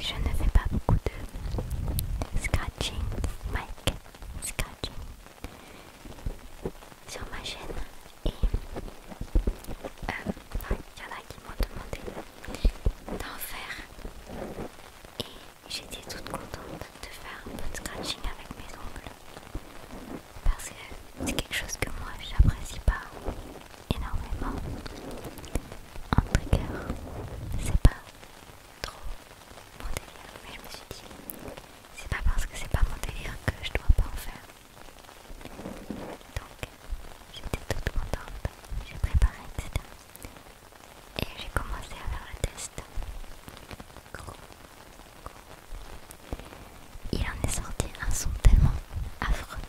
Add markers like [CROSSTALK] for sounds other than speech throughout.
Je ne fais pas beaucoup de scratching, scratching sur ma chaîne et il y en a qui m'ont demandé d'en faire et j'étais toute contente de faire un peu de scratching avec mes ongles parce que c'est quelque chose que moi j'apprécie pas énormément. En trigger, c'est pas trop mon délire, mais je me suis dit, c'est pas parce que c'est pas mon délire que je dois pas en faire. Donc, j'étais toute contente, j'ai préparé, etc. Et j'ai commencé à faire le test. Il en est sorti un son tellement affreux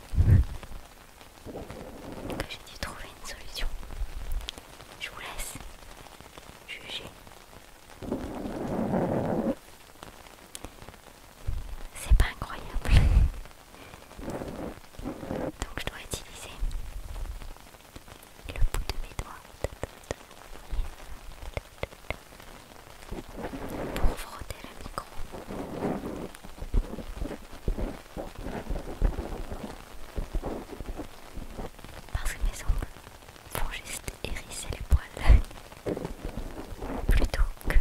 j'ai dû trouver une solution. Je vous laisse juger. C'est pas incroyable. Donc je dois utiliser le bout de mes doigts pour frotter le micro. Parce que mes ongles vont juste hérisser les poils [LAUGHS] plutôt que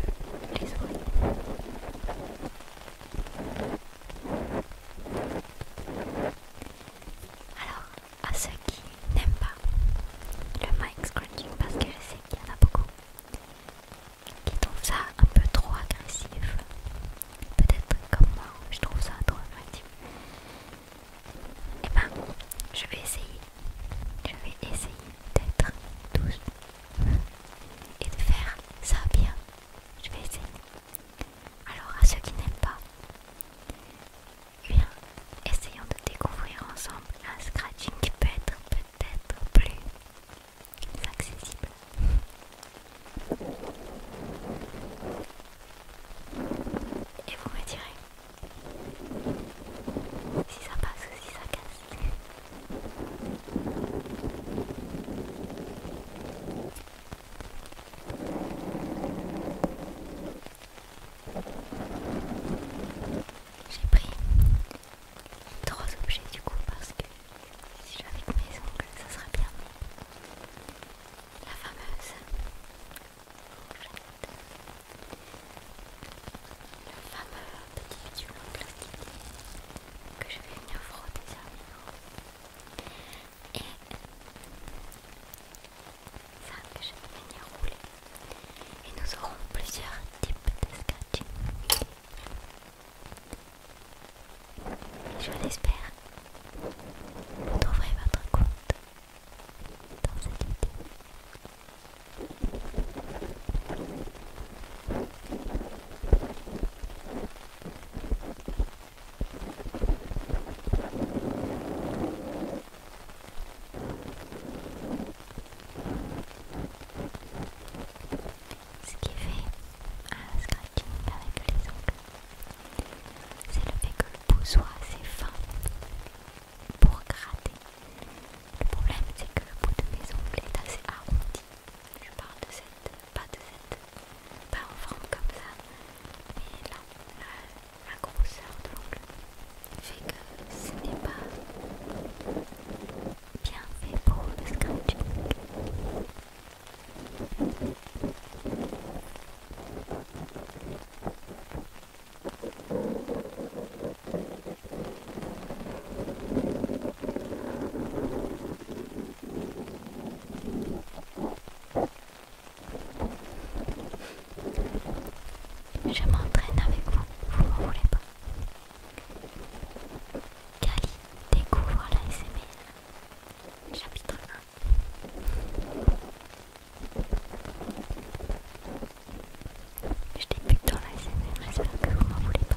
les oreilles. Alors, à ceux qui n'aiment pas le mic scratching, parce que je sais qu'il y en a beaucoup, qui trouve ça un peu trop agressif. Peut-être comme moi, je trouve ça trop agressif. Et eh ben, je vais essayer. Je vais essayer d'être douce et de faire ça bien. Je vais essayer. Alors à ceux qui n'aiment pas, bien, essayons de découvrir ensemble un scratching qui peut être peut-être plus c'est accessible. Et vous me direz si ça passe ou si ça casse. J'ai pris trois objets du coup parce que si j'avais que mes ongles ça serait bien la fameuse la fameux petit bidule en plastique que je vais venir frotter sur et ça que je vais venir rouler et nous aurons plusieurs types de Je l'espère, vous trouverez votre compte dans cette vidéo. Ce qui fait un scratching avec les ongles, c'est le fait que le bout soit assez fin pour gratter. Le problème, c'est que le bout de mes ongles est assez arrondi. Je parle de cette, pas de cette, pas en forme comme ça, mais là, la grosseur de l'ongle que ce n'est pas bien fait pour le scratching. Je m'entraîne avec vous, vous ne voulez pas. Kali, découvre la Chapitre 1. Je débute dans la SML, j'espère que vous m'en voulez pas.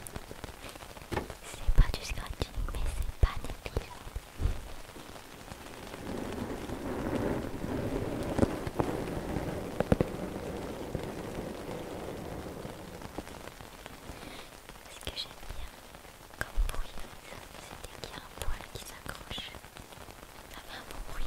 C'est pas du scratching, mais c'est pas d'eau. Ce que j'aime bien comme bruit, c'était qu'il y a un poil qui s'accroche. Ça fait un bon bruit.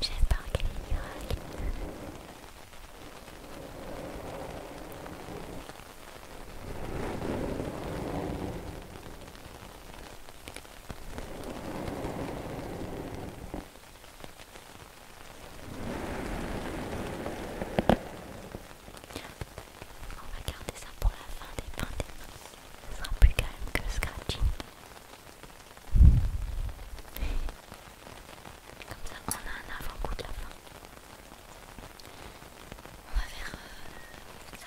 J'aime pas Ragnarok. On va garder ça pour la fin des fins des Ce sera plus calme que Scratching. Comme ça, on a un avant-goût de la fin. On va faire euh, ça.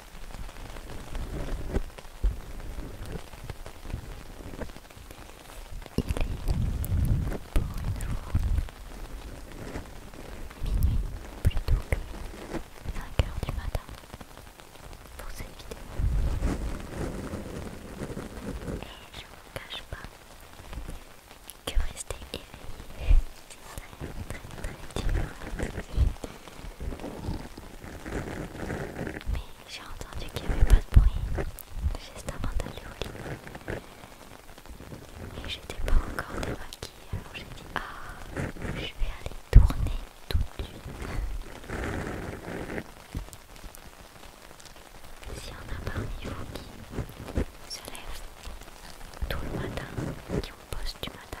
Il est pour une minuit, plutôt que 5h du matin pour cette vidéo. Et je vous cache pas que rester éveillé, c'est très très très dur mais j'ai entendu qu'il n'y avait pas de bruit juste avant d'aller au Et j'étais pas encore démaquillée, alors j'ai dit Ah, je vais aller tourner tout de suite. S'il y en a parmi vous qui se lèvent tout le matin, qui ont poste du matin,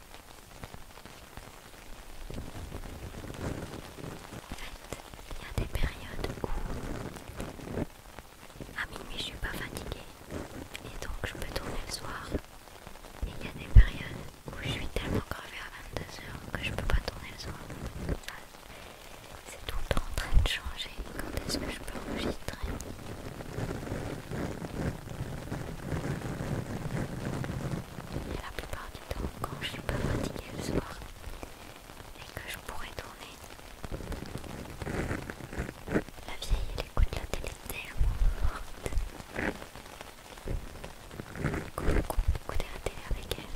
En fait, il y a des périodes où à minuit je suis pas fatiguée et donc je peux tourner le soir. Et il y a des périodes où je suis tellement gravée à 22h que je peux pas tourner le soir. C'est tout le temps en train de changer. Quand est-ce que je peux enregistrer et la plupart du temps, quand je suis pas fatiguée le soir et que je pourrais tourner, la vieille elle écoute la télé tellement forte. avec elle.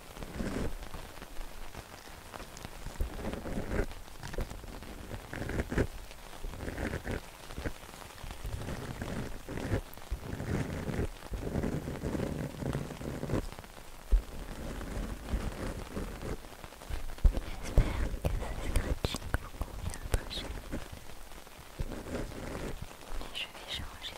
J'espère que ce scratching vous convient à trancher, mais je vais changer.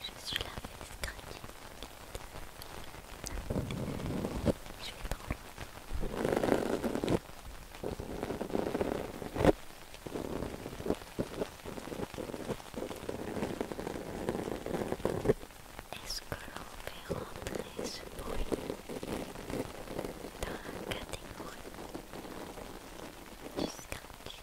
Je suis là avec Scratchy. Je vais trop loin. Est-ce que l'on fait rentrer ce bruit dans la catégorie du scratch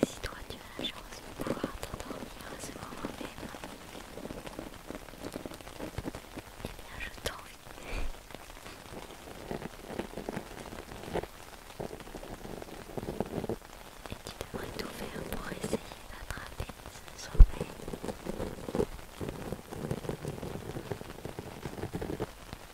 Et si toi tu as la chance de pouvoir t'endormir à ce moment là et eh bien je t'envie. Et tu devrais tout faire pour essayer d'attraper ce sommeil.